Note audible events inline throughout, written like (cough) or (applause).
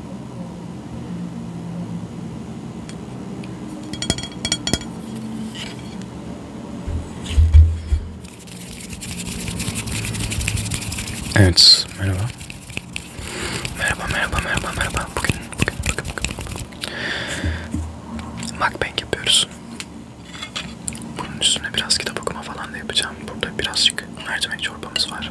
Evet, merhaba. Merhaba, merhaba, merhaba, merhaba. Bugün, bugün, bugün, bugün. Mukbang yapıyoruz. Bunun üstüne biraz kitap okuma falan da yapacağım. Burada birazcık mercimek çorbamız var.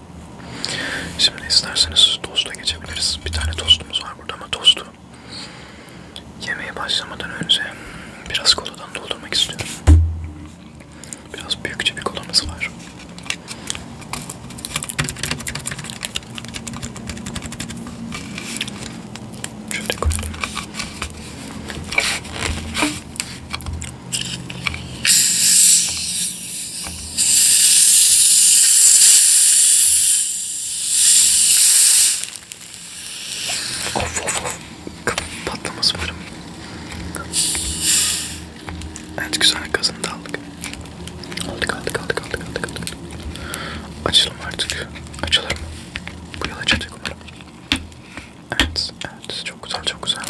Şimdi isterseniz tosta geçebiliriz. Bir tane tostumuz var burada ama tostu yemeğe başlamadan önce biraz koladan doldurmak istiyorum. Biraz büyükçe bir kolamız var. Şöyle koyalım. Of of of. Patlaması varım. Evet güzel kazını da aldık. Aldık aldık aldık aldık aldık aldık. Açalım artık. Açılır mı? Bu yıl açacak umarım. Evet, evet. Çok güzel, çok güzel.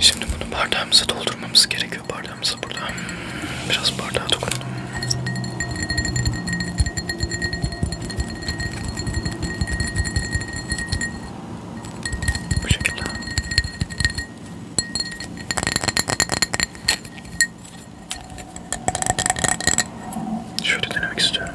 Şimdi bunu bardağımıza doldurmamız gerekiyor. Bardağımıza burada. Biraz bardağa dokunalım. Bu şekilde. Şöyle denemek istiyorum.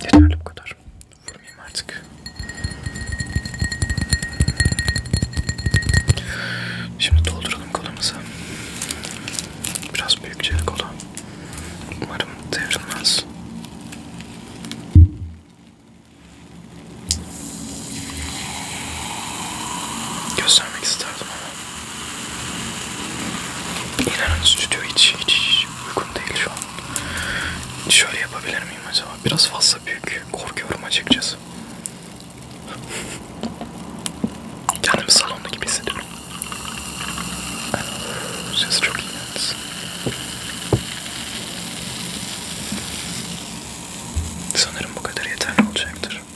Yeterli bu kadar. Vurmayayım artık. Şimdi dolduralım kolumuzu. Biraz büyükçe kola. Umarım devrilmez. Göstermek isterdim ama İnanın stüdyo hiç, hiç, hiç uygun değil şu an. Şöyle yapabilir miyim acaba? Biraz fazla büyük. Korkuyorum açıkçası. (laughs) Kendimi salonda gibi hissediyorum. Ses çok iyi yalnız. Sanırım bu kadar yeterli olacaktır.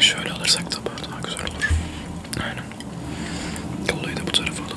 Şöyle alırsak da daha güzel olur. Aynen. Yollayı da bu tarafa alalım.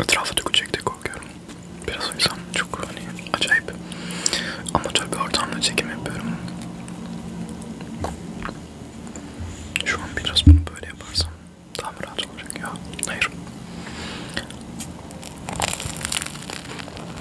Etrafa dökülecek diye korkuyorum. Biraz o yüzden çok hani acayip amatör bir ortamda çekim yapıyorum. Şu an biraz bunu böyle yaparsam daha mı rahat olacak ya? Hayır.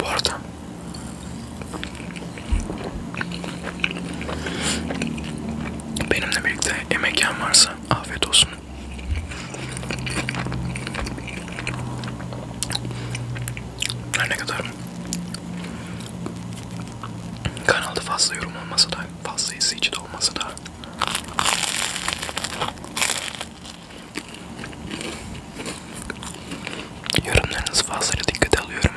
Bu arada benimle birlikte emek yiyen varsa afiyet olsun. Her ne kadar kanalda fazla yorum olmasa da fazla izleyici de olmasa da Yorumlarınızı fazlaca dikkate alıyorum.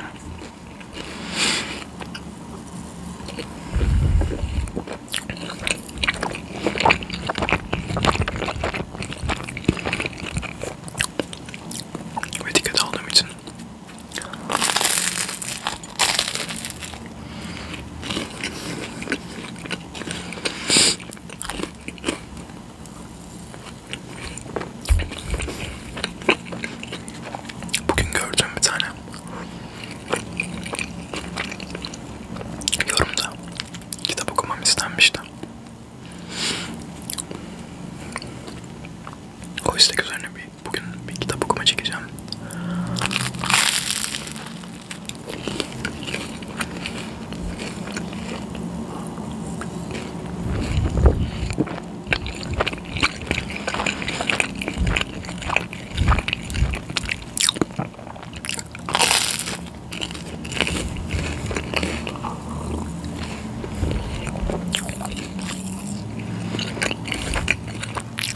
Ve dikkate aldığım için Bugün gördüm bir tane yorumda kitap okumam istenmişti. O istek üzerine bir bugün bir kitap okuma çekeceğim.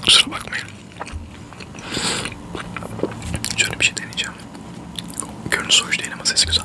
Kusura bakmayın. Şöyle bir şey deneyeceğim. Görüntüsü hoş değil ama sesi güzel.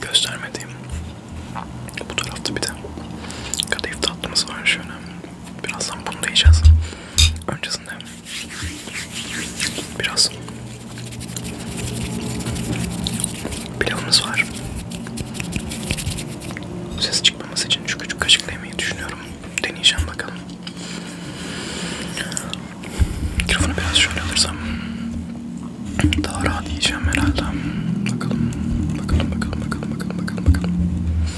Göstermediğim bu tarafta bir de kadayıf tatlımız var şöyle. Birazdan bunu da yiyeceğiz. Öncesinde biraz pilavımız var. Ses çıkmaması için şu küçük kaşıkla yemeyi düşünüyorum. Deneyeceğim bakalım. Mikrofonu biraz şöyle alırsam daha rahat yiyeceğim herhalde. Bakalım, bakalım, bakalım, bakalım, bakalım, bakalım.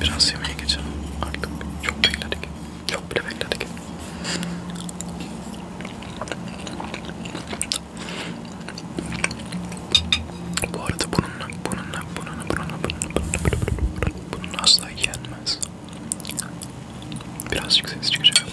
Biraz yemeğe geçelim artık. Çok bekledik. Çok bile bekledik. Bu arada bununla, bununla, bununla, bununla, bununla, bununla asla yenmez. Birazcık ses çıkacak ama.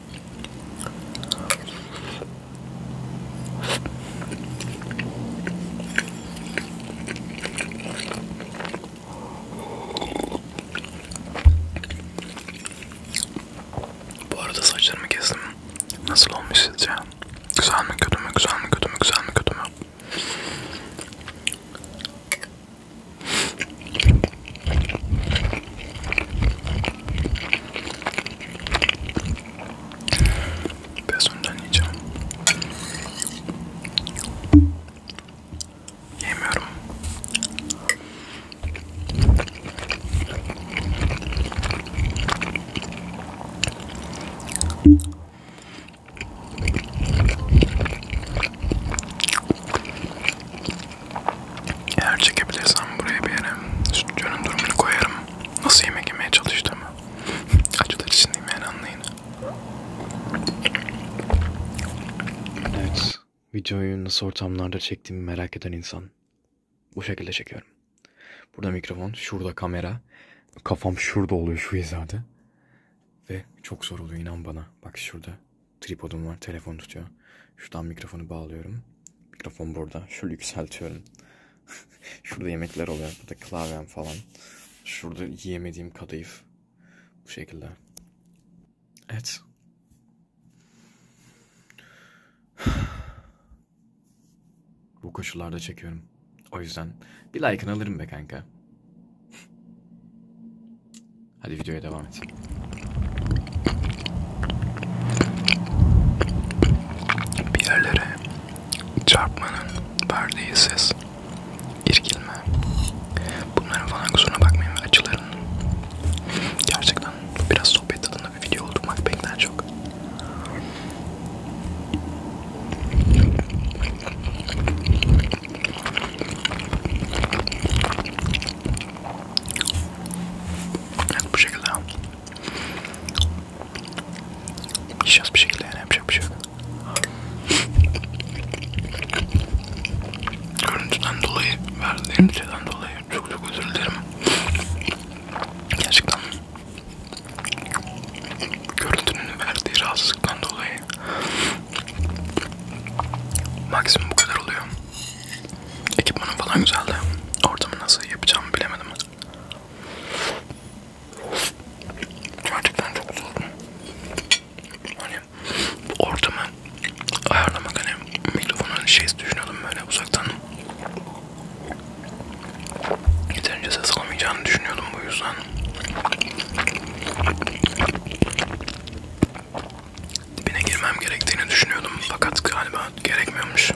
Bu arada saçlarımı kestim. Nasıl olmuş sizce? Güzel mi kötü mü? Güzel mi kötü mü? Güzel mi kötü mü? Biraz ondan yiyeceğim. Yemiyorum. Eğer çekebilirsem buraya bir yere stüdyonun durumunu koyarım. Nasıl yemek yemeye çalıştığımı (laughs) acılar içindeyim yani anlayın. Evet, videoyu nasıl ortamlarda çektiğimi merak eden insan. Bu şekilde çekiyorum. Burada mikrofon, şurada kamera. Kafam şurada oluyor şu hizada. Ve çok zor oluyor inan bana. Bak şurada tripodum var, telefon tutuyor. Şuradan mikrofonu bağlıyorum. Mikrofon burada. Şöyle yükseltiyorum. (laughs) Şurada yemekler oluyor. Burada klavyem falan. Şurada yiyemediğim kadayıf. Bu şekilde. Evet. (sighs) Bu koşullarda çekiyorum. O yüzden bir like'ını alırım be kanka. (laughs) Hadi videoya devam et. Bir yerlere çarpmanın verdiği ses, irkilme. Bunların falan kusuruna bakmayın ve acıların. Gerçekten biraz sohbet tadında bir video oldu Macbank'den çok. Evet, bu şekilde Yiyeceğiz bir şekilde yani yapacak bir şey yok. Görüntüden dolayı, verdiğim şeyden dolayı çok çok özür dilerim. Gerçekten görüntünün verdiği rahatsızlıktan dolayı maksimum bu kadar oluyor. Ekipmanım falan güzeldi. Ortamı nasıl yapacağımı bilemedim. Gerçekten çok zor. Hani ortamı ayarlamak hani mikrofonu hani şey düşünüyordum böyle uzaktan. Yeterince ses alamayacağını düşünüyordum bu yüzden. Dibine girmem gerektiğini düşünüyordum fakat galiba gerekmiyormuş.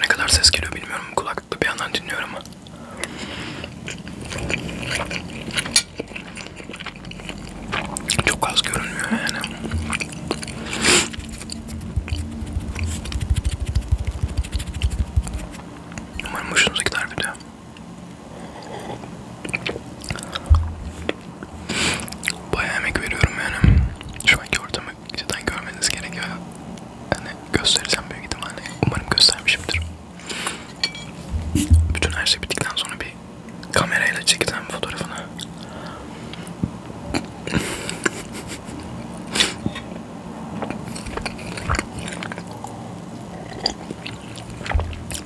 Ne kadar ses geliyor bilmiyorum. Kulaklıkla bir yandan dinliyorum ama. Çok az görünmüyor yani. Umarım hoşunuza gider video. Bayağı emek veriyorum yani. Şu anki ortama cidden görmeniz gerekiyor. Hani göstereceğim büyük ihtimalle. Umarım göstermişimdir. Bütün her şey bittikten sonra bir kamerayla çekeceğim fotoğrafını.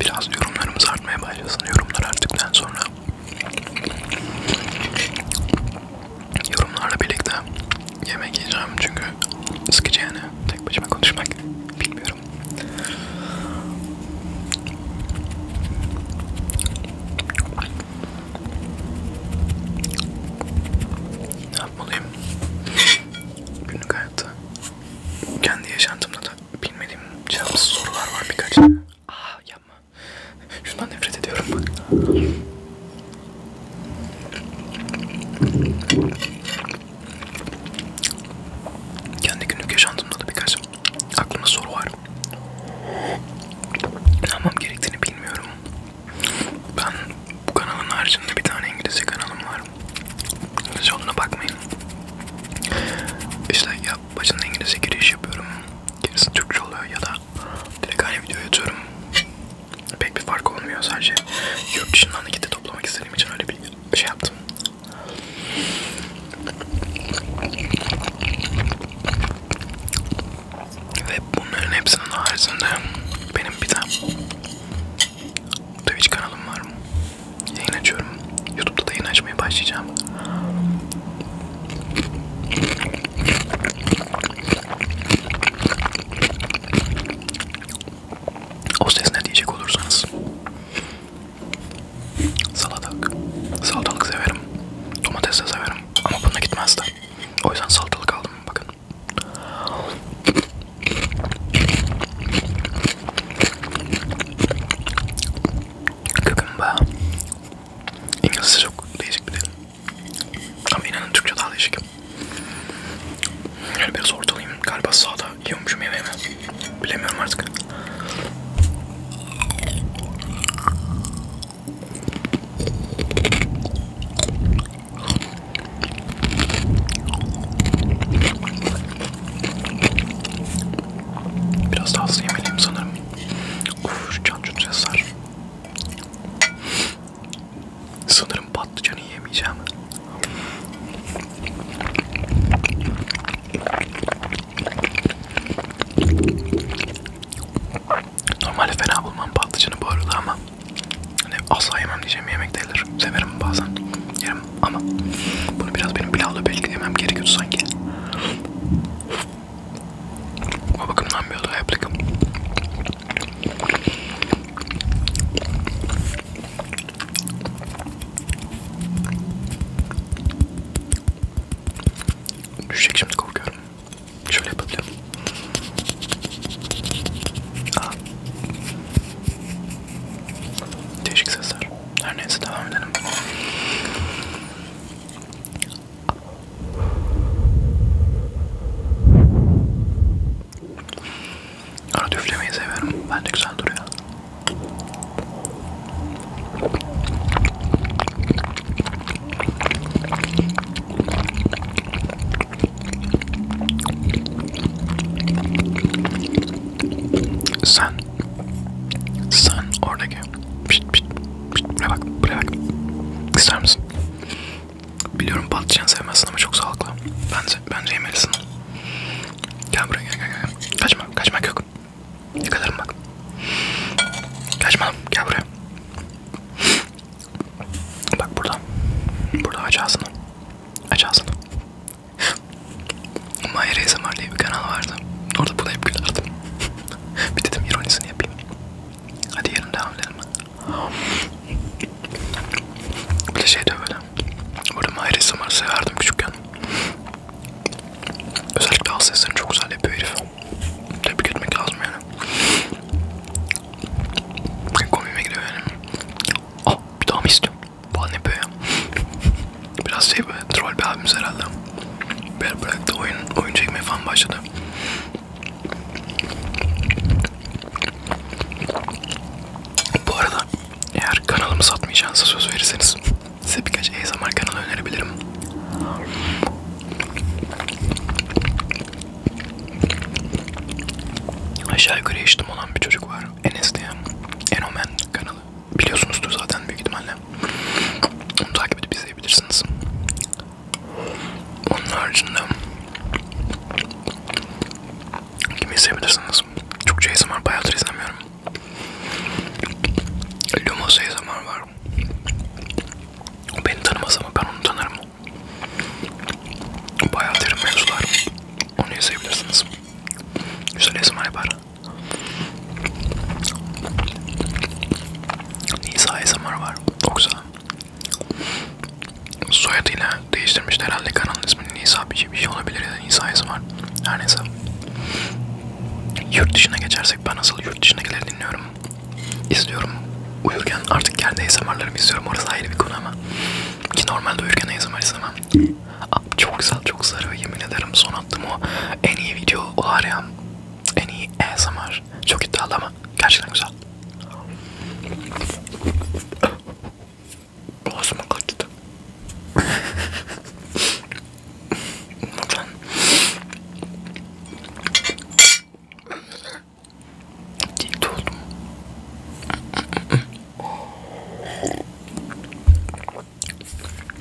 Biraz yorumlarımız artmaya başlasın. Yorumlar arttıktan sonra Yorumlarla birlikte yemek yiyeceğim çünkü sıkıcı yani tek başıma konuşmak bilmiyorum. Ne yapmalıyım? Günlük hayatta kendi yaşantımda da bilmediğim cevapsız sorular var birkaç. Aa ah, ya yapma. Şundan nefret ediyorum. Kendi günlük yaşantımda da birkaç aklımda soru var. Ne yapmam gerektiğini bilmiyorum. Ben bu kanalın haricinde bir tane İngilizce kanalım var. Siz ona bakmayın. İşte ya başında İngilizce giriş yapıyorum gerisi Türkçe oluyor ya da direkt aynı videoya atıyorum. Pek bir fark olmuyor sadece yurt dışından nakite toplamak istediğim için öyle bir şey yaptım. Ve bunların hepsinin haricinde benim bir tane Twitch kanalım var. Yayın açıyorum. Youtube'da da yayın açmaya başlayacağım. O ses ne diyecek olursanız salatalık, salatalık severim, domates de severim ama bununla gitmezdi. O yüzden salatalık aldım bakın. Kıkımba. İngilizce çok değişik bir dil. Ama inanın Türkçe daha değişik. Yani biraz ortalayayım. Galiba sağda yiyormuşum yemeğimi. Bilemiyorum artık. Biraz daha hızlı yemeliyim sanırım. Uf, can cüt sesler. Sanırım patlıcanı yemeyeceğim. Normalde fena bulmam patlıcanı bu arada ama hani asla yemem diyeceğim bir yemek değildir. Severim bazen yerim ama bunu biraz benim pilavla belki yemem gerekiyordu sanki. Baba kemna miyolu aplikam. Düşecek şimdi korkuyorum. Şöyle yapabilirim. Aa. Değişik sesler. Her neyse devam edelim. Arada üflemeyi seviyorum. Bence güzel duruyor. Sen sen oradaki diye. Pişt pişt pişt. Buraya bak buraya bak. İster misin? Biliyorum patlıcan sevmezsin ama çok sağlıklı. Bence, bence yemelisin. Gel buraya gel gel gel. Kaçma kaçmak yok. Yakalarım bak. Kaçma gel buraya. Bak burada. Burada aç ağzını. Aç ağzını. Mahir ASMR diye bir kanal vardı. Orada buna hep gülerdim. (laughs) bir dedim ironisini yapayım. Hadi yarın devam edelim. Bir de şey diyor böyle. Burada Mahir'i samarı severdim küçükken. Özellikle al seslerini çok güzel yapıyor herif. Tebrik etmek lazım yani. Komime gidiyor yani. Ah bir daha mı istiyorum? Falan yapıyor ya. Biraz şey böyle troll bir abimiz herhalde. Beni bıraktı oyun, oyun çekmeye falan başladı. Bu arada eğer kanalımı satmayacağınıza söz verirseniz size birkaç ASMR kanalı önerebilirim. Aşağı yukarı yaştım olan bir çocuk var. Enes diye. Enomen kanalı. Biliyorsunuzdur zaten büyük ihtimalle. Onu takip edip izleyebilirsiniz. Onun haricinde kimi izleyebilirsiniz? Çok ASMR şey bayağıdır izlemiyorum. Lumos ASMR var. O beni tanımaz ama ben onu tanırım. Bayağı derin mevzular. Onu izleyebilirsiniz. Güzel ASMR yapar. Nisa ASMR var. O güzel. Soyadıyla değiştirmişti herhalde kanalın ismini Nisa bir şey, bir şey olabilir ya da Nisa'yısı var. Her neyse. Yurt dışına geçersek ben asıl yurt dışındakileri dinliyorum. İzliyorum. Uyurken artık kendi ASMR'larımı izliyorum. Orası ayrı bir konu ama. Ki normalde uyurken ASMR izlemem. Abi çok güzel, çok sarı. Yemin ederim son attım o en iyi video o var ya. En iyi ASMR. Çok iddialı ama Gerçekten güzel. Boğazıma kaçtı. Buradan. Dikti oldum.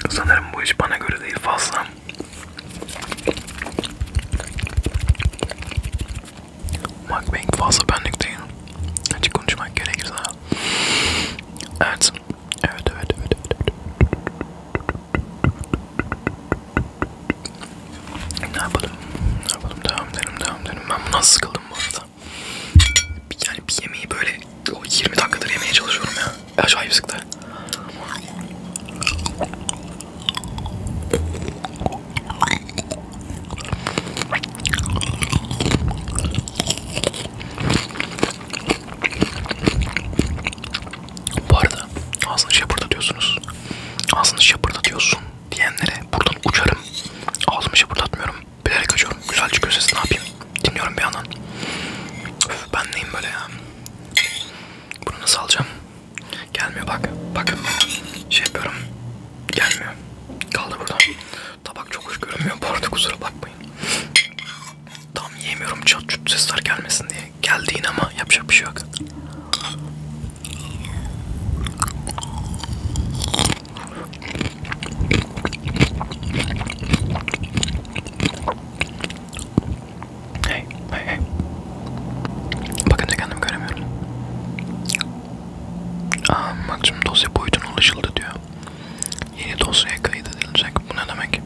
Sanırım bu iş bana göre değil fazla. Mukbang fazla benlik değil. Açık konuşmak gerekirse. Evet. Evet, evet, evet, evet, evet. Ne yapalım? Ne yapalım? Devam edelim, devam edelim. Ben bundan sıkıldım bu arada. Yani bir yemeği böyle o 20 dakikadır yemeye çalışıyorum ya. Acayip sıktı. Bu arada ağzını şapırdatıyorsunuz. Ağzını şapırdatıyorsun diyenlere buradan uçarım. Ağzımı şapırdatmıyorum. Bilerek açıyorum. Güzel çıkıyor sesi ne yapayım? Dinliyorum bir yandan. Öf, ben neyim böyle ya? Bunu nasıl alacağım? Gelmiyor bak. Bak. Şey yapıyorum. Gelmiyor. Kaldı burada. Tabak çok hoş görünmüyor. Bu arada kusura bakmayın. Tam yiyemiyorum çat çut sesler gelmesin diye. Geldi yine ama yapacak bir şey yok. Hey, hey, hey. Bakınca kendimi göremiyorum. Aa, ah, maksimum dosya boyutuna ulaşıldı diyor. Yeni dosyaya kayıt edilecek. Bu ne demek?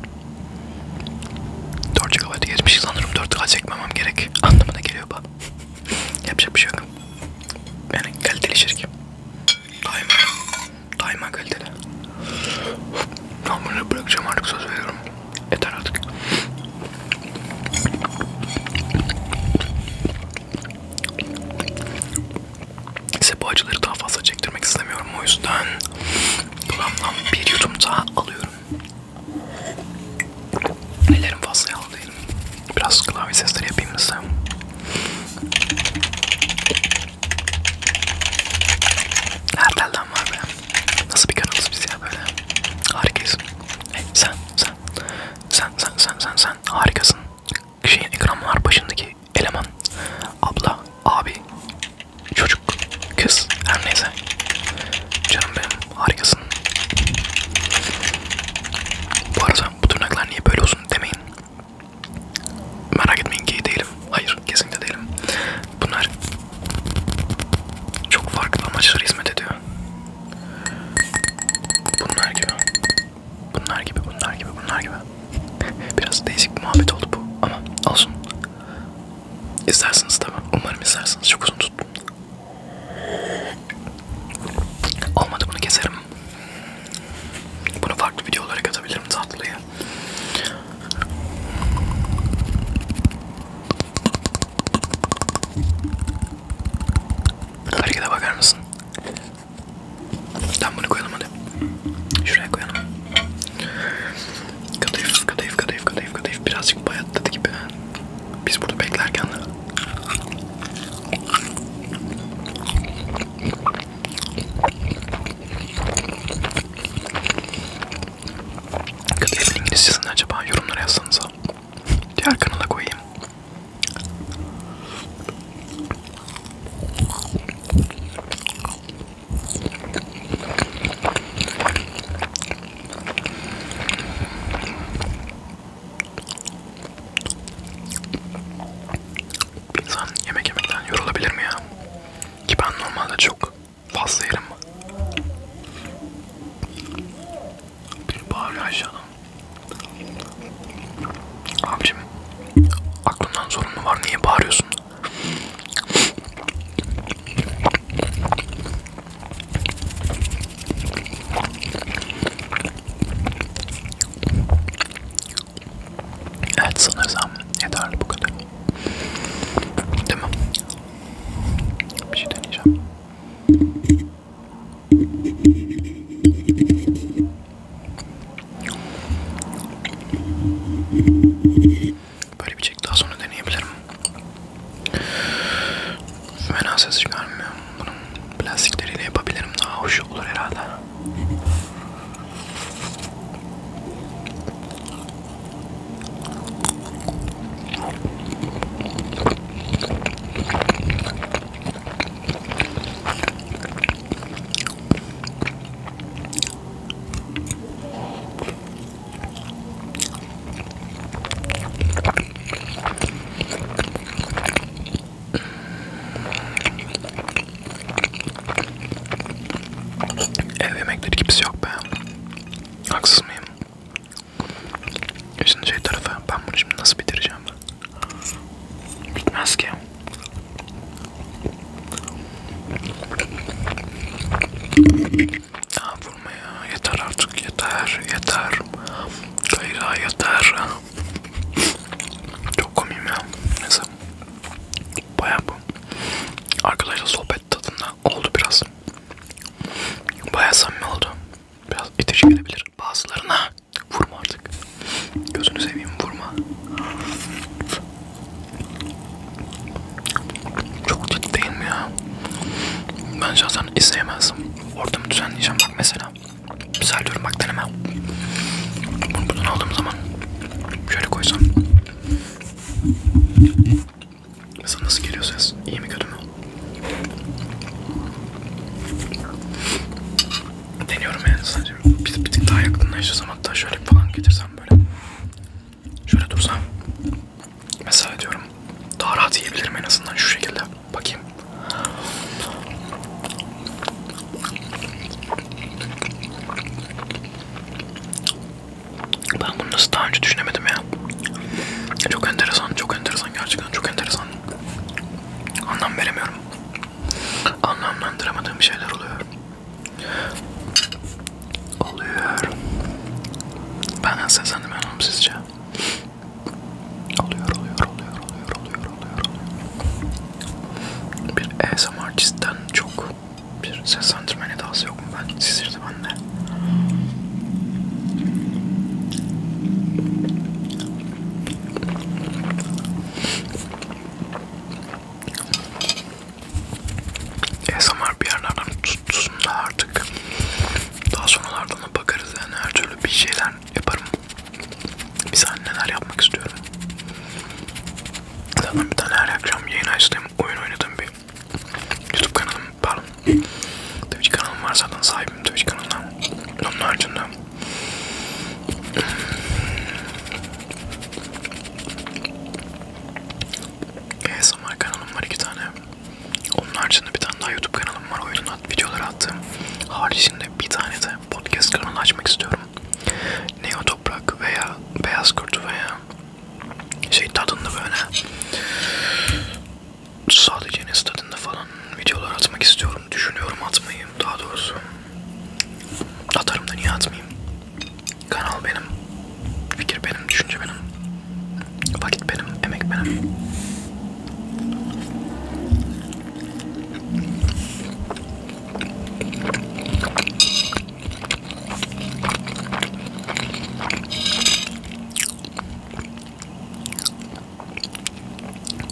4 GB geçmiş sanırım 4K çekmemem gerek. (laughs) Anlamına geliyor bu. (laughs) Yapacak bir şey yok. Yani kaliteli şirk. Daima. Daima kaliteli. Ben bunu bırakacağım artık söz veriyorum. Yeter artık. Size bu acıları daha fazla çektirmek istemiyorum. O yüzden kulağımdan bir yudum daha alıyorum. Ellerim fazla yağlı değilim. Biraz klavye sesleri yapayım size. Her telden var be. Nasıl bir kanalız biz ya böyle? Harikayız. Hey, sen, sen, sen, sen, sen, sen, sen harikasın. Şeyin ekranlar başındaki eleman, abla, abi, çocuk, kız, her neyse. Canım benim, harikasın. Bu arada bu tırnaklar niye böyle uzun demeyin. Merak etmeyin ki değilim. Hayır, kesinlikle değilim. Bunlar çok farklı amaçlara hizmet ediyor. Bunlar gibi. Bunlar gibi, bunlar gibi, bunlar gibi. (laughs) Biraz değişik bir muhabbet oldu bu ama olsun. İstersiniz tabi. Umarım istersiniz. Çok uzun tuttum. Olmadı bunu keserim. Bunu farklı videolara katabilirim tatlıyı. Harekete bakar mısın? Tam bunu koyalım hadi. Şuraya koyalım. Kadayıf, kadayıf, kadayıf, kadayıf, kadayıf. Birazcık bayatladı gibi. Biz burada beklerken de... Good evening sizin acaba yorumlara yazsanıza. Diğer kanala koyayım. İnsan yemek yemekten yorulabilir mi ya? Ki ben normalde çok Fazla yerim. Bir bağırıyor aşağıdan. Abicim aklımdan sorun mu var? Niye bağırıyorsun? Evet sanırsam yeterli bu kadar. Değil mi? Bir şey deneyeceğim. Böyle bir çek daha sonra deneyebilirim. Fena ses çıkarmıyor. Bunun plastikleriyle yapabilirim. Daha hoş olur herhalde. Ev yemekleri gibisi yok be. Haksız mıyım? Gözün şey tarafı. Ben bunu şimdi nasıl bitireceğim? Bitmez to jest vurma ya. Yeter artık. Yeter. Yeter. Gayra yeter. Çok komik ya. Neyse. Baya bu. Arkadaşlar sohbet tadında. oldu biraz. Baya samimi oldu. Biraz itici gelebilir bazılarına. Vurma artık. Gözünü seveyim vurma. Çok ciddi değil mi ya? Ben şahsen izleyemezdim. Ortamı düzenleyeceğim bak mesela. Misal diyorum bak deneme. Bunu buradan aldığım zaman şöyle koysam. Mesela nasıl geliyor ses? İyi mi kötü mü? Deniyorum yani sadece. Bir, bir tık daha yakınlaşırsam hatta şöyle falan getirsem böyle. Şöyle dursam. Mesela diyorum daha rahat yiyebilirim en azından şu şekilde. Bakayım. Ben bunu nasıl daha önce düşünemedim ya. Çok enteresan, çok enteresan gerçekten çok enteresan. Anlam veremiyorum. Anlamlandıramadığım şeyler oluyor. Oluyor. Ben seslendim inanım sizce. Oluyor, oluyor, oluyor, oluyor, oluyor, oluyor, oluyor. Bir ASMR artistten çok bir seslendirme nedası yokmuş. Sizirdi bende. ASMR bir yerlerden tutsun da artık daha sonralardan da bakarız yani her türlü bir şeyler yaparım. Biz neler yapmak istiyorum. Zaten bir tane her akşam yayın açtığım oyun oynadığım bir YouTube kanalım, pardon. Twitch kanalım var zaten sahibim Twitch kanalına. Onun haricinde ASMR kanalım var iki tane. Onun haricinde bir tane daha YouTube kanalım var. Oyunun at, videoları attığım. Haricinde bir tane de podcast kanalı açmak istiyorum. Neo Toprak veya Beyaz Kurt veya şey tadında böyle sadece nes tadında falan videolar atmak istiyorum. Düşünüyorum atmayı daha doğrusu. Atarım da niye atmayayım? Kanal benim. Fikir benim, düşünce benim. Vakit benim, emek benim.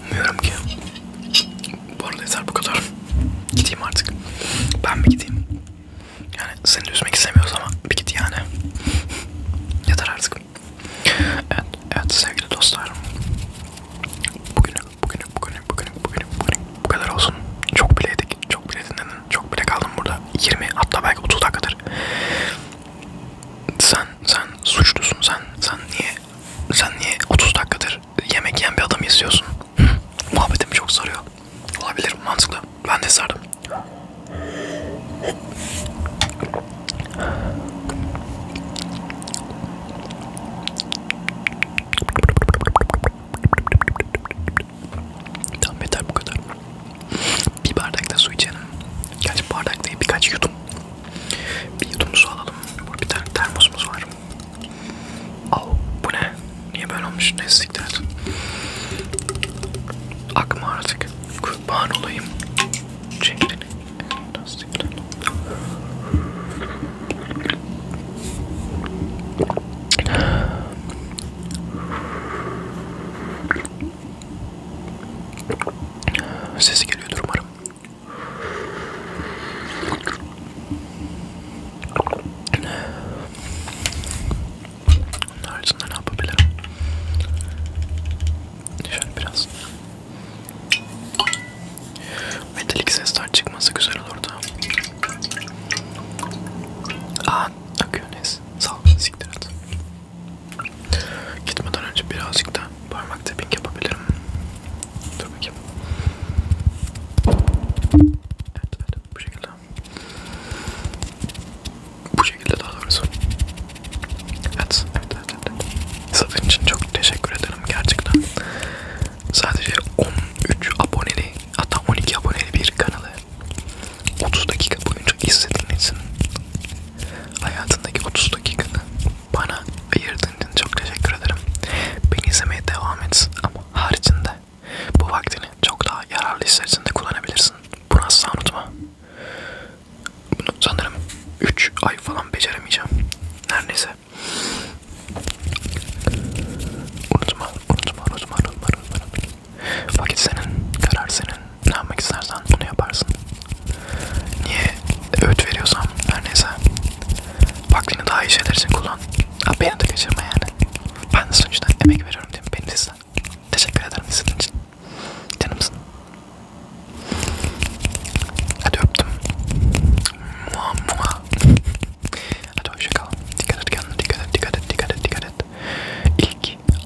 Bilmiyorum ki. Bu arada yeter bu kadar. Gideyim artık. Ben bir gideyim. Yani seni de üzmek istemiyoruz ama bir git yani. yeter artık. Evet, evet sevgili dostlar. Bugün, bugün, bugün, bugün, bugün, bugün bu kadar olsun. Çok bileydik, çok bileydin kaldım. Çok bile kaldım burada. 20 hatta belki 30 dakikadır. Sen sen suçlusun sen. Sen niye sen niye 30 dakikadır yemek yiyen bir adam izliyorsun? Muhabbetim çok sarıyor. Olabilir mantıklı. Ben de sardım. Tam yeter bu kadar. Bir bardak da su içelim. Gerçi bardak değil birkaç yudum. Bir yudum su alalım. Burada bir tane termosumuz var. Al bu ne? Niye böyle olmuş? Ne siktir? Akma artık. Kurban olayım. Çekilin. Sesi geliyordur umarım. Onun haricinde ne yapabilirim? Şöyle biraz. Metalik sesler çıkması güzel olurdu. Aa, akıyor neyse. Sağ ol siktir et. Gitmeden önce birazcık da parmak tapping yapabilirim. Dur bakayım. Evet, evet bu şekilde. Bu şekilde daha doğrusu. Evet, evet, evet, evet. Zafer için çok teşekkür ederim gerçekten. Sadece 13 aboneli, hatta 12 aboneli bir kanalı 30 dakika boyunca izledin için hayatındaki 30 dakikanı bana ayırdığın için çok teşekkür ederim. Beni izlemeye devam et ama haricinde bu vaktini çok daha yararlı işler için de kullanabilirsin. Bunu asla unutma. Bunu sanırım 3 ay falan beceremeyeceğim. Neredeyse. Unutma, unutma, unutma, unutma, unutma. Vakit senin, karar senin. Ne yapmak istersen bunu yaparsın. Niye öğüt veriyorsam her neyse. Vaktini daha iyi şeyler için kullan. Ha, beni de kaçırma yani. Ben de sonuçta emek veriyorum değil mi? Beni de Teşekkür ederim izlediğin için. Canımsın. Hadi öptüm. Mua mua. Hadi hoşçakalın. Dikkat et kendine, dikkat et, dikkat et, dikkat et, dikkat et. İlk